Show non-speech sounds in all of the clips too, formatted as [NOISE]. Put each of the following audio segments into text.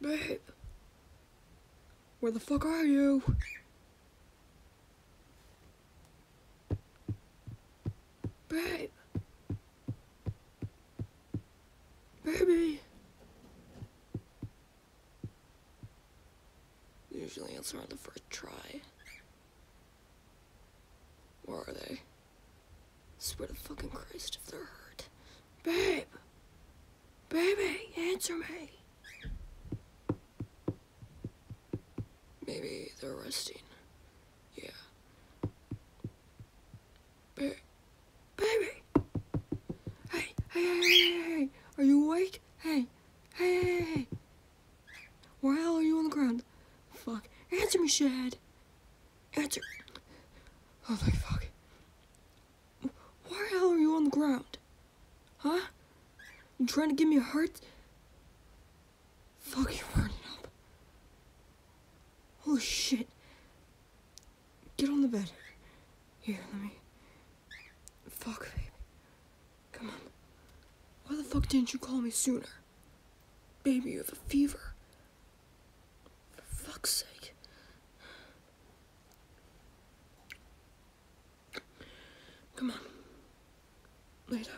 Babe. Where the fuck are you? Babe. Baby. Usually answer on the first try. Where are they? I swear to fucking Christ if they're hurt. Babe! Baby, answer me. Maybe they're resting. Yeah. Ba baby! Hey, hey, hey, hey, hey, are you awake? Hey, hey, hey, hey. Why the hell are you on the ground? Fuck. Answer me, shithead. Answer. Holy fuck. Why the hell are you on the ground? Huh? You trying to give me a heart? Fuck, you're burning Holy shit. Get on the bed. Here, let me... Fuck, baby. Come on. Why the fuck didn't you call me sooner? Baby, you have a fever. For fuck's sake. Come on. Lay down.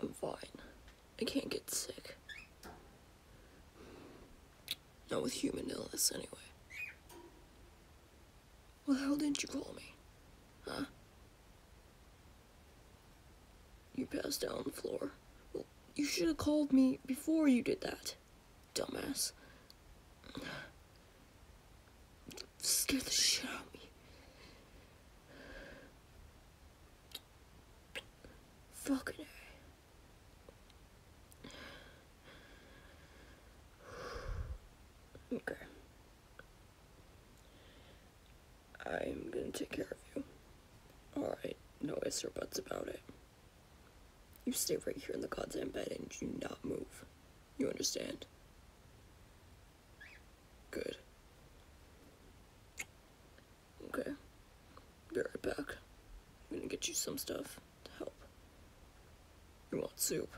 I'm fine. I can't get sick. Not with human illness, anyway. Well, the hell didn't you call me? Huh? You passed out on the floor. Well, you should have called me before you did that, dumbass. Scared the shit out me. Fucking I'm gonna take care of you. Alright, no ifs or buts about it. You stay right here in the goddamn bed and do not move. You understand? Good. Okay. Be right back. I'm gonna get you some stuff to help. You want soup?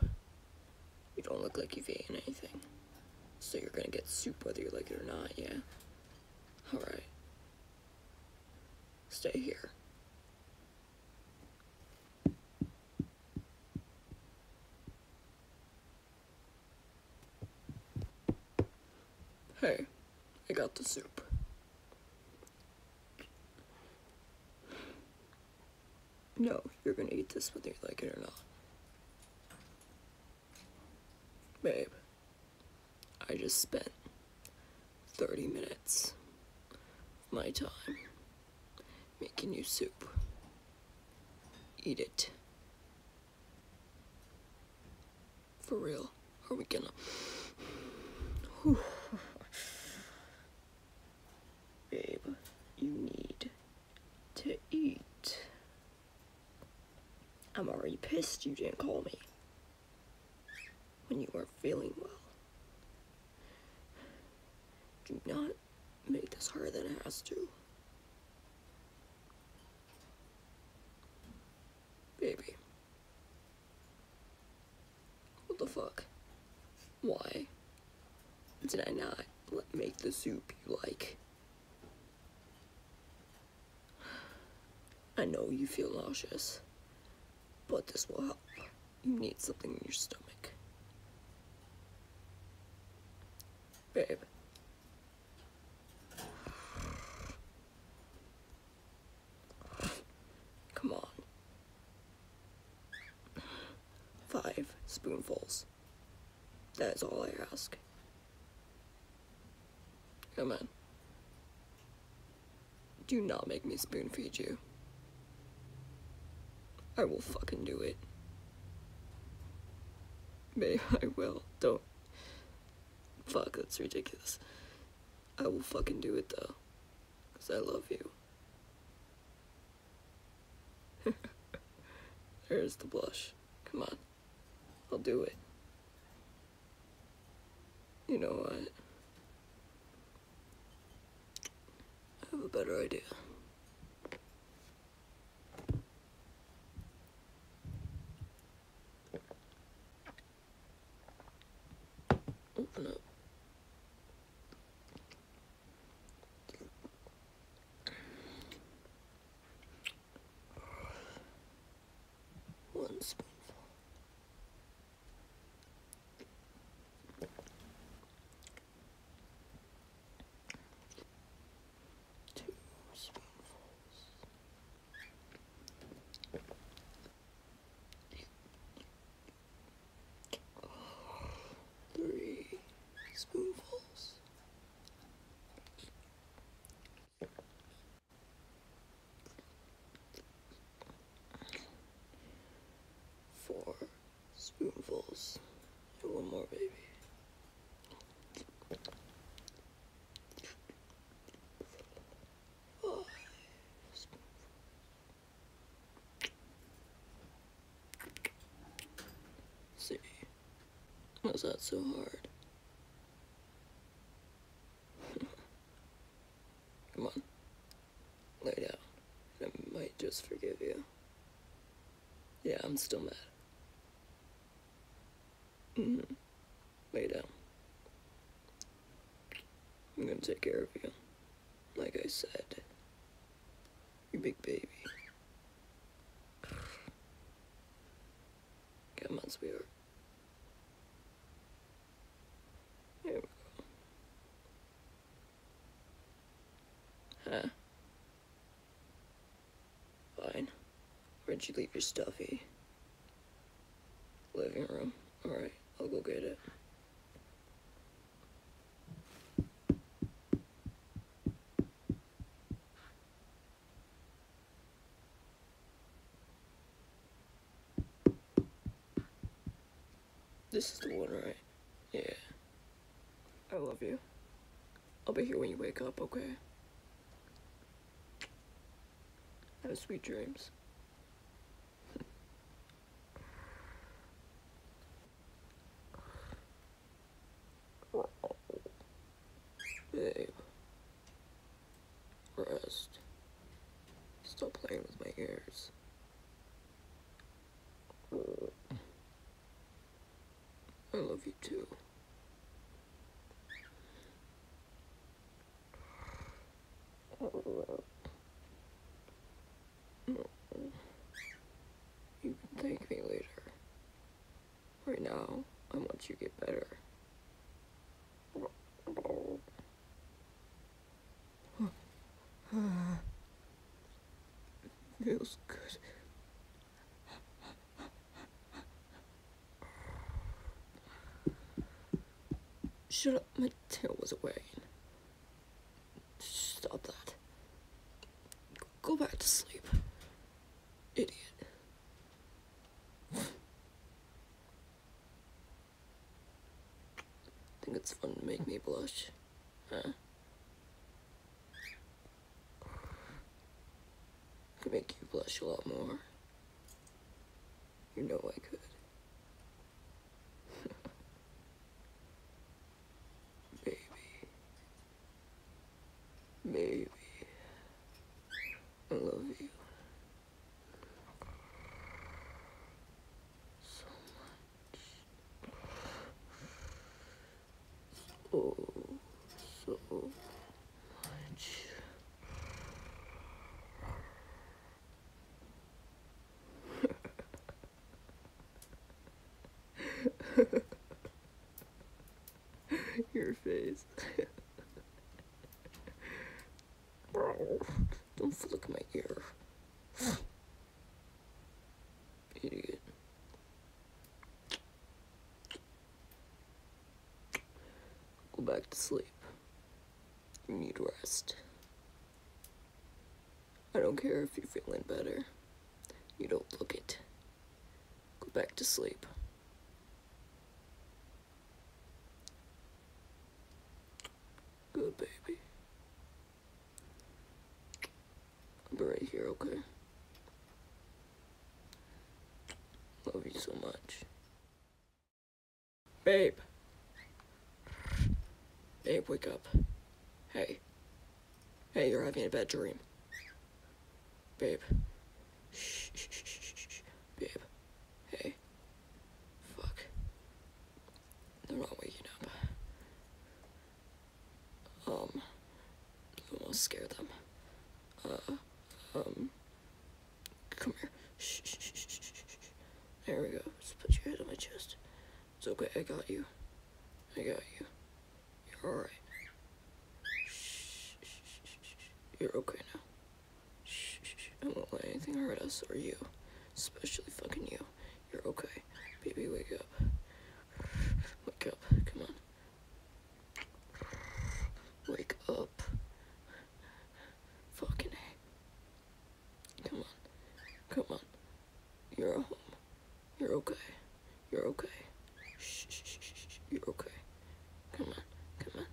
You don't look like you've eaten anything. So you're gonna get soup whether you like it or not, yeah? Alright. Stay here. Hey, I got the soup. No, you're gonna eat this whether you like it or not. Babe, I just spent 30 minutes of my time making you soup. Eat it. For real, are we gonna... Whew. Babe, you need to eat. I'm already pissed you didn't call me when you are feeling well. Do not make this harder than it has to. Baby. What the fuck? Why did I not make the soup you like? I know you feel nauseous, but this will help. You need something in your stomach. Babe. Come on. Five spoonfuls. That is all I ask. Come on. Do not make me spoon feed you. I will fucking do it. Babe, [LAUGHS] I will. Don't. Fuck, that's ridiculous. I will fucking do it though. Because I love you. [LAUGHS] There's the blush. Come on. I'll do it. You know what? I have a better idea. Open up. One spoonful. Two spoonfuls. Three spoonfuls. Four spoonfuls. one more, baby. see. Was that so hard? [LAUGHS] Come on. Lay down. I might just forgive you. Yeah, I'm still mad. Mm -hmm. Lay down. I'm gonna take care of you. Like I said. You big baby. [SIGHS] Come on, sweetheart. Huh. Fine. Where'd you leave your stuffy? Living room. Alright, I'll go get it. This is the one, right? Yeah. I love you. I'll be here when you wake up, okay? Have sweet dreams. [LAUGHS] Babe. Rest. Still playing with my ears. I love you too. You can thank me later. Right now, I want you to get better. Feels good. Shut up, my tail was away. Stop that. Go back to sleep. Idiot. I think it's fun to make me blush. Huh? could make you blush a lot more. You know I could. [LAUGHS] Baby. Baby. I love you so much. So, so much. Your face. Bro, don't flick my ear. Idiot. Go back to sleep. need rest. I don't care if you're feeling better. You don't look it. Go back to sleep. Good baby. I'll be right here, okay? Love you so much. Babe. Babe, wake up. Hey. Hey, you're having a bad dream. Babe. Shh, shh, shh, shh, shh. Babe. Hey okay. Fuck. The wrong way, you know. Um, almost scare them. Uh, um, come here. Shh, shh, shh, shh, shh. There we go. Just put your head on my chest. It's okay, I got you. I got you. You're alright. You're okay now. Shh, shh, shh. I won't let anything hurt us or you. Especially fucking you. You're okay. Baby, wake up. Wake up. Come on. Wake up. Fucking A. Come on. Come on. You're home. You're okay. You're okay. Shh, shh, shh, shh. You're okay. Come on. Come on.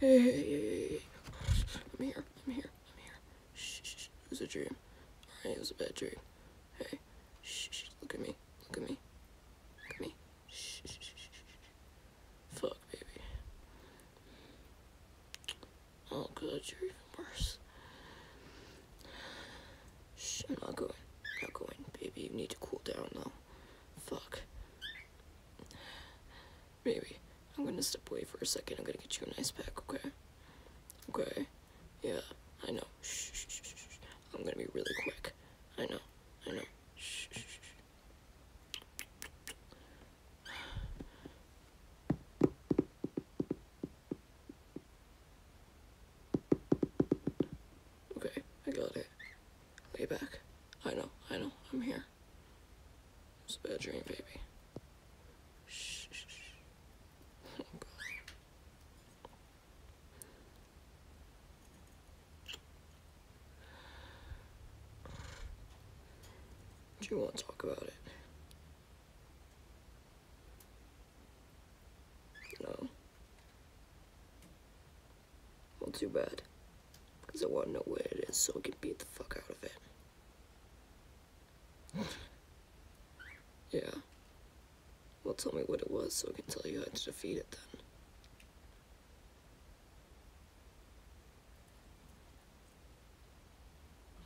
Hey, I'm here. I'm here. I'm here. Shh, It was a dream. Alright, it was a bad dream. Hey. Shh, Look at me. Look at me. Look at me. Shh, shh, shh, shh. Fuck, baby. Oh, God, you're even worse. Shh, I'm not going. I'm not going. Baby, you need to cool down, though. Fuck. Maybe. I'm gonna step away for a second. I'm gonna get you an ice pack, okay? Okay. Yeah, I know. Shh, shh, shh, I'm gonna be really quick. I know. I know. shh, shh. [SIGHS] Okay, I got it. Lay back. I know, I know, I'm here. It's a bad dream, baby. shh. [SIGHS] Do you want to talk about it? No. Well, too bad. Because I want to know where it is so I can beat the fuck out of it. yeah. Well, tell me what it was so I can tell you how to defeat it then.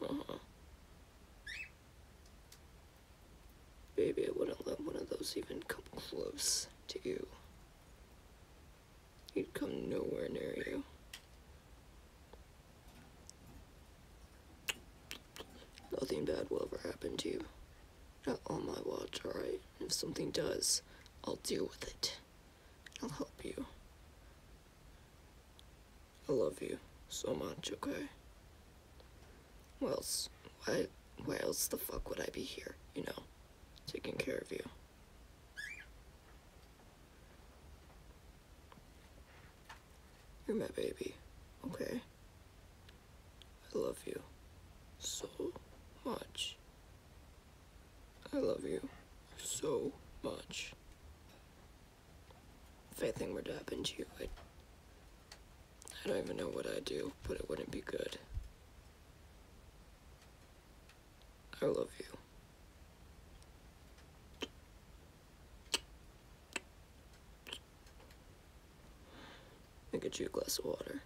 Uh-huh. Maybe I wouldn't let one of those even come close to you. He'd come nowhere near you. Nothing bad will ever happen to you. Not on my watch, alright? If something does, I'll deal with it. I'll help you. I love you so much, okay? Why else, why, why else the fuck would I be here, you know, taking care of you? You're my baby, okay? I love you so much. I love you so much. If anything were to happen to you, i i do not even know what I'd do, but it wouldn't be good. I love you. I'll get you a glass of water.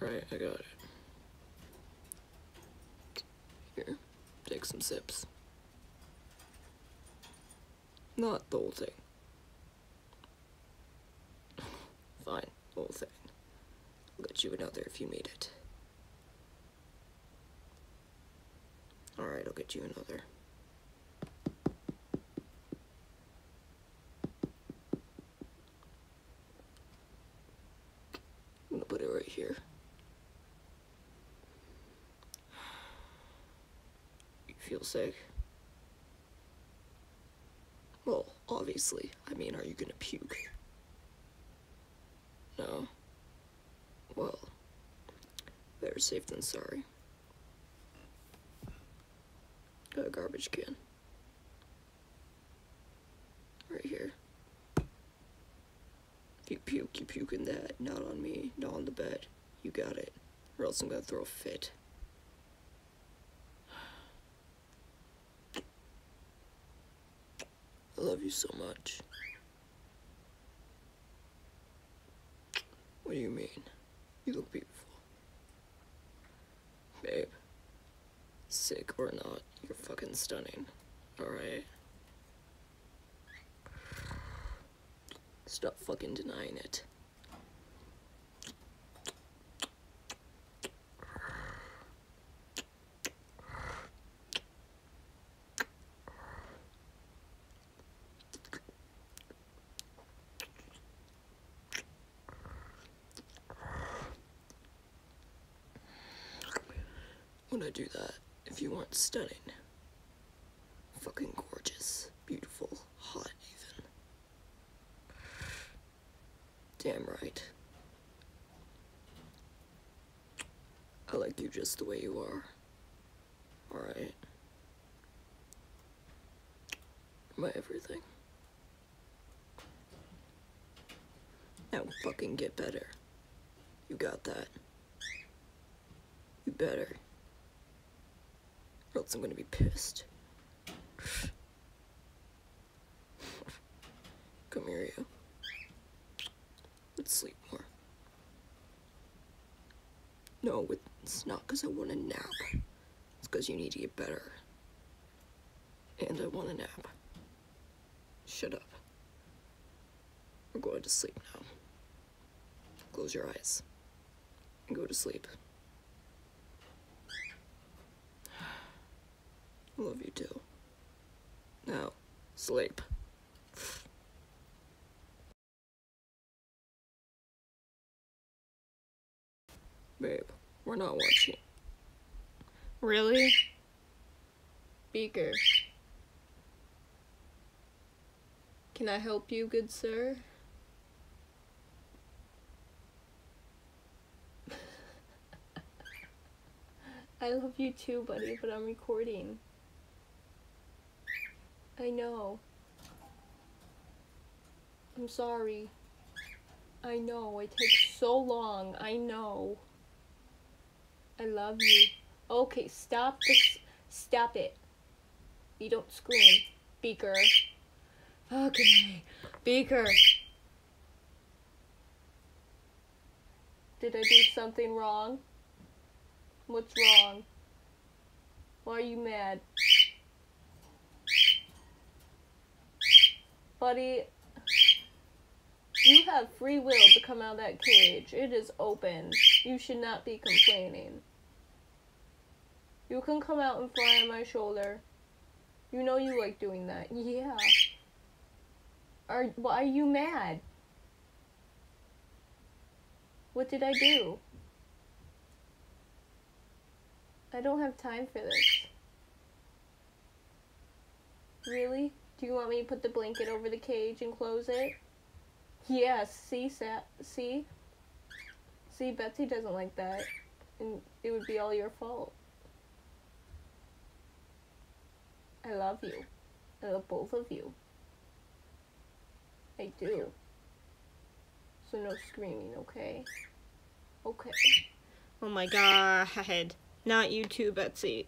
Alright, I got it. Here, take some sips. Not the whole thing. [LAUGHS] Fine, whole thing. I'll get you another if you need it. Alright, I'll get you another. I'm gonna put it right here. You feel sick? Well, obviously. I mean, are you gonna puke? No. Well, better safe than sorry. Got a garbage can. Right here you puke, you puking that, not on me, not on the bed. You got it. Or else I'm gonna throw a fit. I love you so much. What do you mean? You look beautiful. Babe, sick or not, you're fucking stunning. Alright? Stop fucking denying it would I do that if you weren't stunning? Fucking gorgeous, beautiful, hot even. Damn right. I like you just the way you are. Alright. My everything. Now fucking get better. You got that. You better. Or else I'm gonna be pissed. Come here, you. Let's sleep more. No, it's not because I want a nap. It's because you need to get better. And I want a nap. Shut up. We're going to sleep now. Close your eyes and go to sleep. I love you too. Now, sleep. Babe, we're not watching. Really? Beaker. Can I help you, good sir? [LAUGHS] I love you too, buddy, but I'm recording. I know. I'm sorry. I know, it takes so long, I know. I love you. Okay, stop this. Stop it. You don't scream, Beaker. Okay, Beaker. Did I do something wrong? What's wrong? Why are you mad? Buddy, you have free will to come out of that cage. It is open. You should not be complaining. You can come out and fly on my shoulder. You know you like doing that. [LAUGHS] Yeah. Are why are you mad? What did I do? I don't have time for this. Really? Do you want me to put the blanket over the cage and close it? Yeah, see, see, see, Betsy doesn't like that, and it would be all your fault. I love you. I love both of you. I do. So no screaming, okay? Okay. Oh my god. [LAUGHS] Not you too, Betsy.